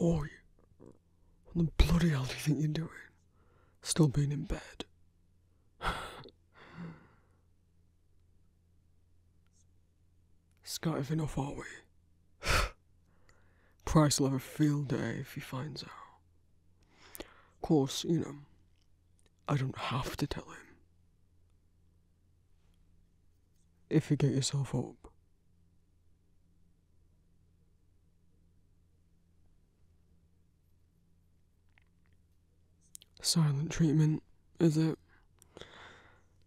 Oi, what bloody hell do you think you're doing? Still being in bed. Scative enough, are we? Price will have a field day if he finds out. Of course, you know, I don't have to tell him. If you get yourself up, Silent treatment, is it?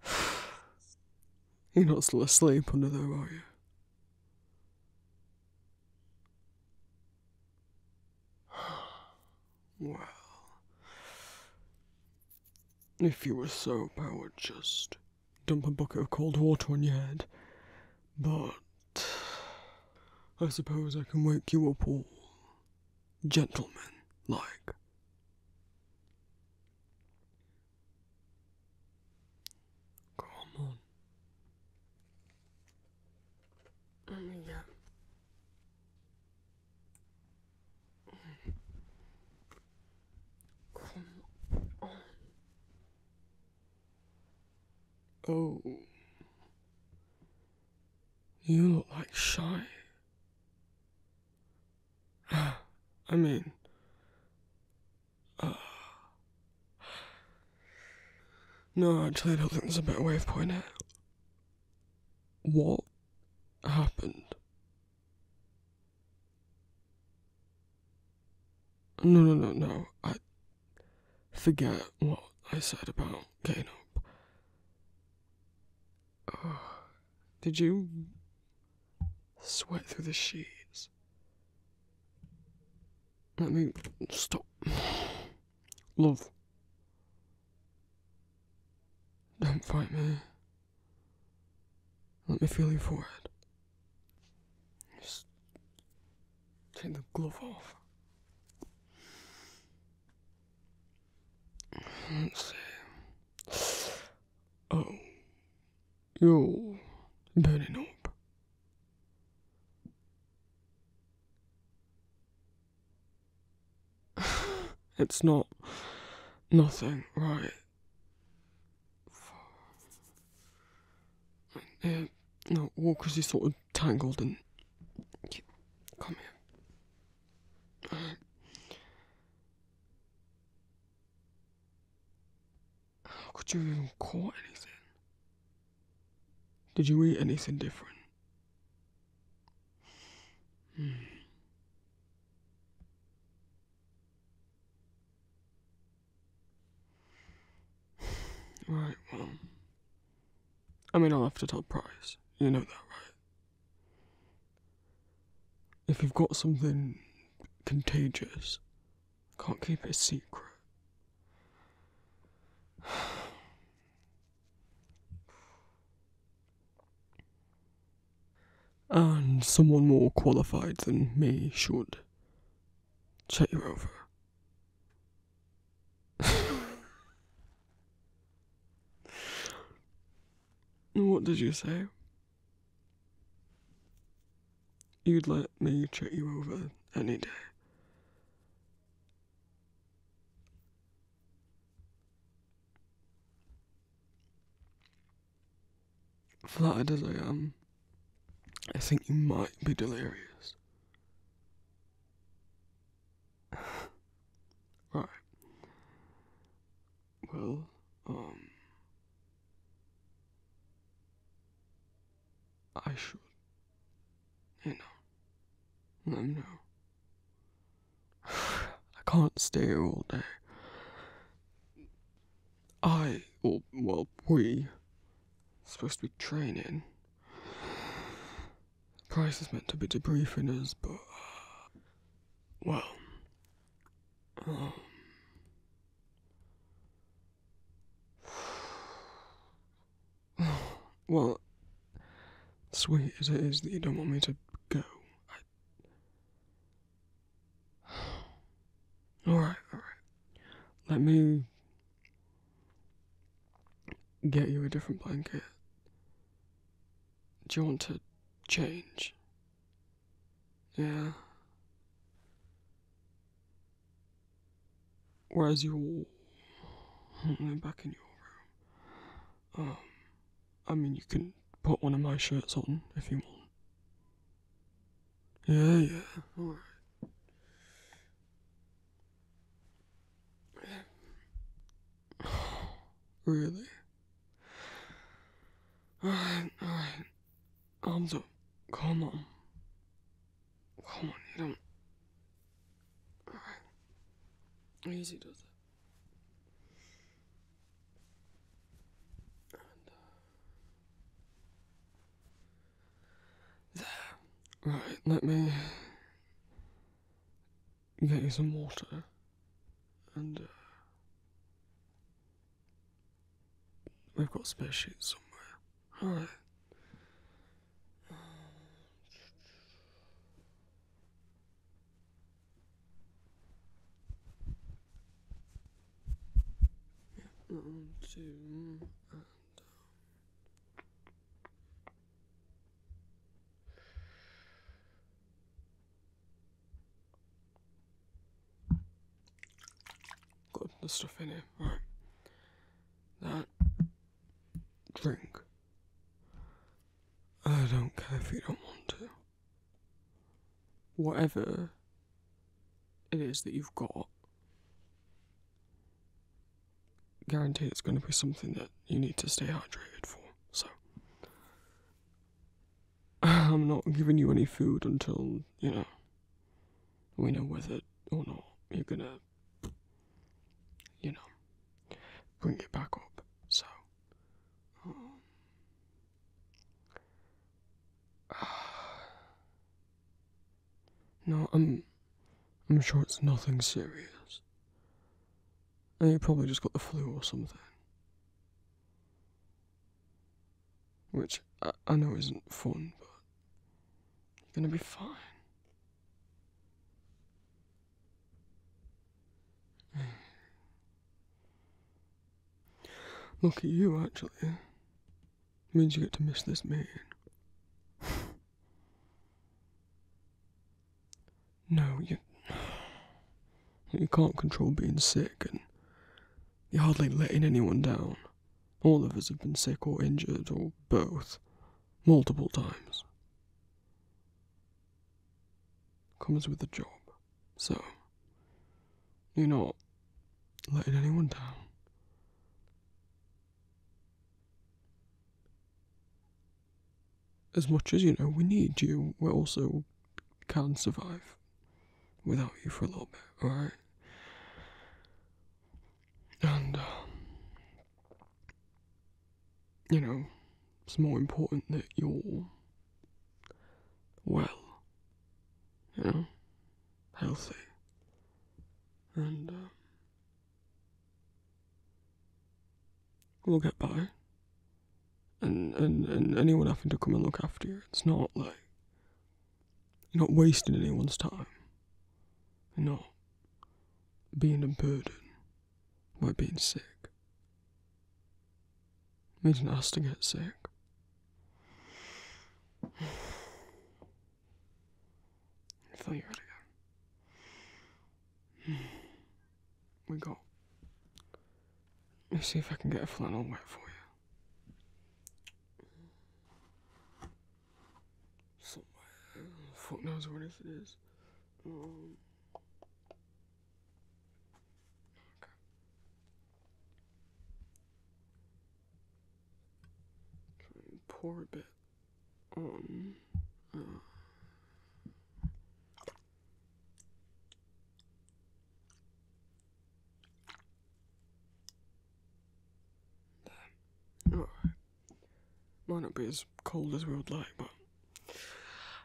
You're not still asleep under there, are you? Well, if you were so powered, just dump a bucket of cold water on your head, but I suppose I can wake you up all gentleman like. Come on. There oh we Oh. You look like shy. I mean, uh, no, actually, I don't think there's a better way of putting it. What happened no, no, no, no. I forget what I said about getting up. did you sweat through the sheets? Let me stop. Love. Don't fight me. Let me feel your forehead. Just take the glove off. let Oh, you're burning up. It's not nothing, right? Uh, no, Walker's is sort of tangled and. come here. how could you even caught anything? Did you eat anything different? Hmm. Right, well. I mean, I'll have to tell Price. You know that, right? If you've got something contagious, can't keep it secret. And someone more qualified than me should check you over. what did you say? You'd let me check you over any day. Flattered as I am, I think you might be delirious. right. Well, um. I should, you know, let him know. I can't stay all day. I, or, well, we, supposed to be training. Price is meant to be debriefing us, but, uh, well, um, well, sweet as it is that you don't want me to go, I, all right, all right. Let me get you a different blanket. Do you want to change? Yeah. Where's your. Hmm, back in your room. Um, I mean, you can put one of my shirts on if you want. Yeah, yeah. All right. really? Alright, alright. I'm so. Come on. Come on, you don't. Alright. Easy does it. Uh, right, let me get you some water and uh, we've got spare sheets somewhere. Alright. On Zoom and got the stuff in it, That drink. I don't care if you don't want to whatever it is that you've got, guaranteed it's going to be something that you need to stay hydrated for. So, I'm not giving you any food until, you know, we know whether or not you're going to, you know, bring it back up. So, um, No, I'm. I'm sure it's nothing serious. And you probably just got the flu or something. Which I, I know isn't fun, but you're gonna be fine. Look at you, actually. Means you get to miss this meeting. no, you. You can't control being sick, and you're hardly letting anyone down. All of us have been sick or injured, or both, multiple times. Comes with the job. So, you're not letting anyone down. As much as you know, we need you, we also can survive without you for a little bit, alright? And, um, you know, it's more important that you're well you know, healthy. And um, we'll get by. And, and, and anyone having to come and look after you, it's not like you're not wasting anyone's time. You're not being a burden by being sick. It's nice to get sick. I you We got. Let's see if I can get a flannel wet for you. Somewhere. Fuck knows where this is. Um, okay pour a bit on. Uh, Might not be as cold as we would like, but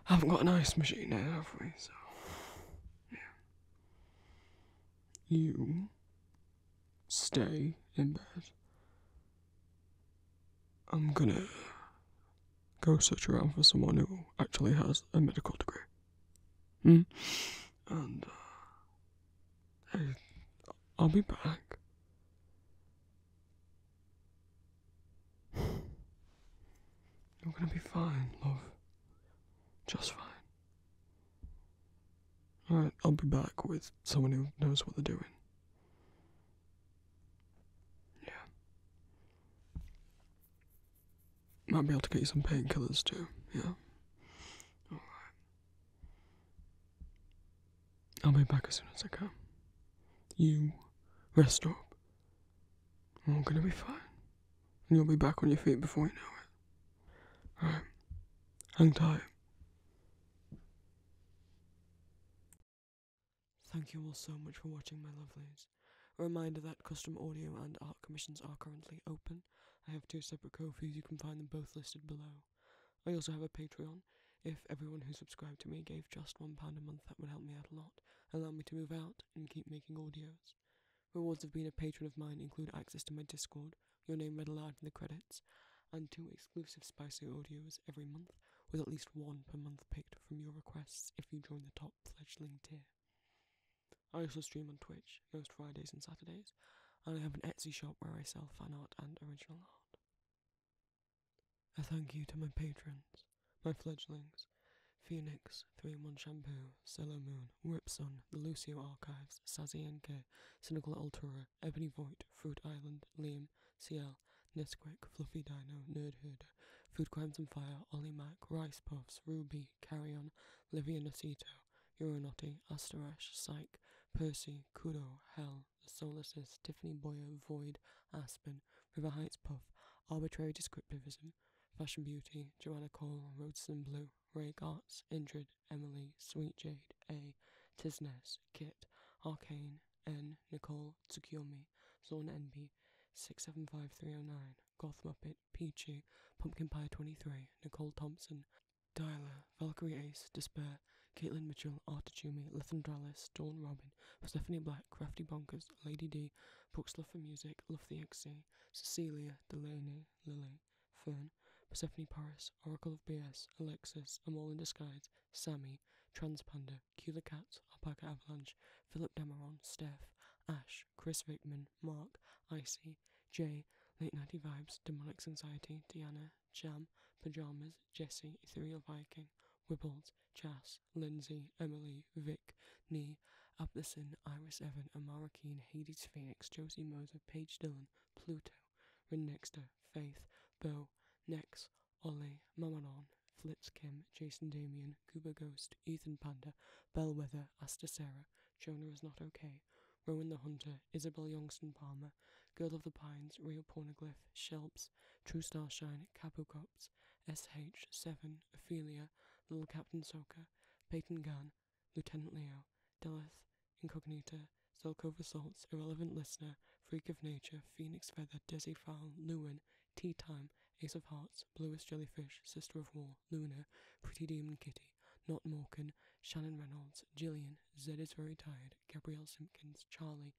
I haven't got an ice machine now, have we? So, yeah you stay in bed. I'm gonna go search around for someone who actually has a medical degree. Hmm? And uh, I'll be back. You're gonna be fine, love. Just fine. Alright, I'll be back with someone who knows what they're doing. Yeah. Might be able to get you some painkillers too, yeah. Alright. I'll be back as soon as I can. You rest up. We're gonna be fine and you'll be back on your feet before you know it. Alright, hang tight. Thank you all so much for watching, my lovelies. A reminder that custom audio and art commissions are currently open. I have two separate Kofis, you can find them both listed below. I also have a Patreon. If everyone who subscribed to me gave just one pound a month, that would help me out a lot, allow me to move out, and keep making audios. Rewards of being a patron of mine include access to my Discord, your name read aloud in the credits, and two exclusive spicy audios every month, with at least one per month picked from your requests if you join the top fledgling tier. I also stream on Twitch most Fridays and Saturdays, and I have an Etsy shop where I sell fan art and original art. A thank you to my patrons, my fledglings, Phoenix, 3 in 1 Shampoo, Solo Moon, Ripsun, The Lucio Archives, Sazienke, Cynical Altura, Ebony Void, Fruit Island, Liam, CL, Nesquik, Fluffy Dino, Nerdhood, Food Crimes and Fire, Ollie Mac, Rice Puffs, Ruby, Carry On, Livia Nocito, Euronauty, Asterash, Psyche, Percy, Kudo, Hell, The Solacist, Tiffany Boyer, Void, Aspen, River Heights Puff, Arbitrary Descriptivism, Fashion Beauty, Joanna Cole, Roadstone Blue, Ray Gartz, Indrid, Emily, Sweet Jade, A, Tisnes, Kit, Arcane, N, Nicole, Tsukiyomi, Zorn NB, 675309, Goth Muppet, Peachy, Pumpkin Pie 23, Nicole Thompson, Dialer, Valkyrie Ace, Despair, Caitlin Mitchell, Artichumi, Lethandralis, Dawn Robin, Stephanie Black, Crafty Bonkers, Lady D, Brooks Love for Music, Love the XC, Cecilia, Delaney, Lily, Fern, Persephone Paris, Oracle of BS, Alexis, A Mole in Disguise, Sammy, Transponder, Kula the Cat, Alpaca Avalanche, Philip Dameron, Steph, Ash, Chris Vickman, Mark, Icy, Jay, Late Nighty Vibes, Demonic Anxiety, Diana, Jam, Pajamas, Jesse, Ethereal Viking, Wibbles, Chas, Lindsay, Emily, Vic, Nee, Uptheson, Iris Evan, Amara Hades Phoenix, Josie Moser, Paige Dillon, Pluto, Rinnexter, Faith, Bo, Next, Ollie, Mamanon, Flitz Kim, Jason Damian, Cuba Ghost, Ethan Panda, Bellwether, Asta Sarah, Jonah is not okay, Rowan the Hunter, Isabel Youngston Palmer, Girl of the Pines, Real Pornoglyph, Shelps, True Starshine, Capo Cops, SH, Seven, Ophelia, Little Captain Soccer, Peyton Gunn, Lieutenant Leo, Delith, Incognita, Zelkova Salts, Irrelevant Listener, Freak of Nature, Phoenix Feather, Dizzy Fowl, Lewin, Tea Time, Ace of Hearts, Bluest Jellyfish, Sister of War, Luna, Pretty Demon Kitty, Not Morgan, Shannon Reynolds, Jillian, Zed is Very Tired, Gabrielle Simpkins, Charlie,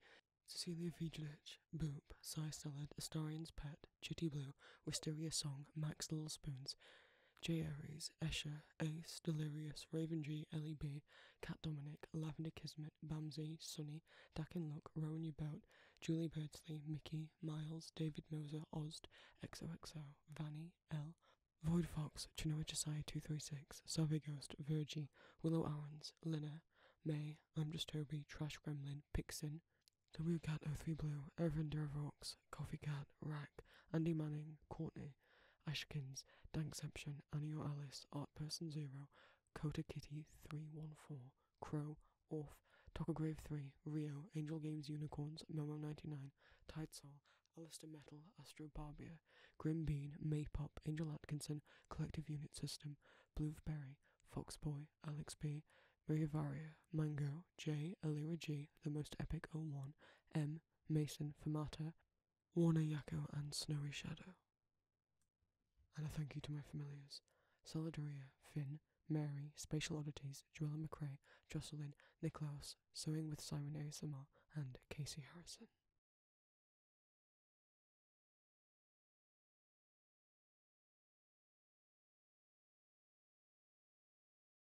Cecilia Vigilich, Boop, Cy Salad, Astarian's Pet, Chitty Blue, Wisteria Song, Max Little Spoons, J. Aries, Escher, Ace, Delirious, Raven G, Ellie Cat Dominic, Lavender Kismet, Bamsey, Sunny, Dak and Luck, Rowan Your Boat, Julie Bertsley Mickey, Miles, David Moser, Ozd, XOXO, Vanny, L, Void Fox, Chinoa Josiah 236, Survey Ghost, Virgie, Willow Owens, Lina, May, I'm Just Toby, Trash Gremlin, Pixin, W Cat 03 Blue, Evan Duravox, Coffee Cat, Rack, Andy Manning, Courtney, Ashkins, Annie or Alice, Art Person Zero, Kota Kitty 314, Crow, Orf, Grave 3, Rio, Angel Games Unicorns, Momo 99, Tide Soul, Alistair Metal, Astro Barbier, Grim Bean, Maypop, Angel Atkinson, Collective Unit System, Blueberry, Foxboy, Alex B, Maria Varia, Mango, Chow, J. Alira G, The Most Epic 01, M. Mason, Famata, Warner Yako and Snowy Shadow. And a thank you to my familiars Solidaria, Finn, Mary, Spatial Oddities, Joella McRae, Jocelyn, Nicklaus, Sewing with Simon ASMR, and Casey Harrison.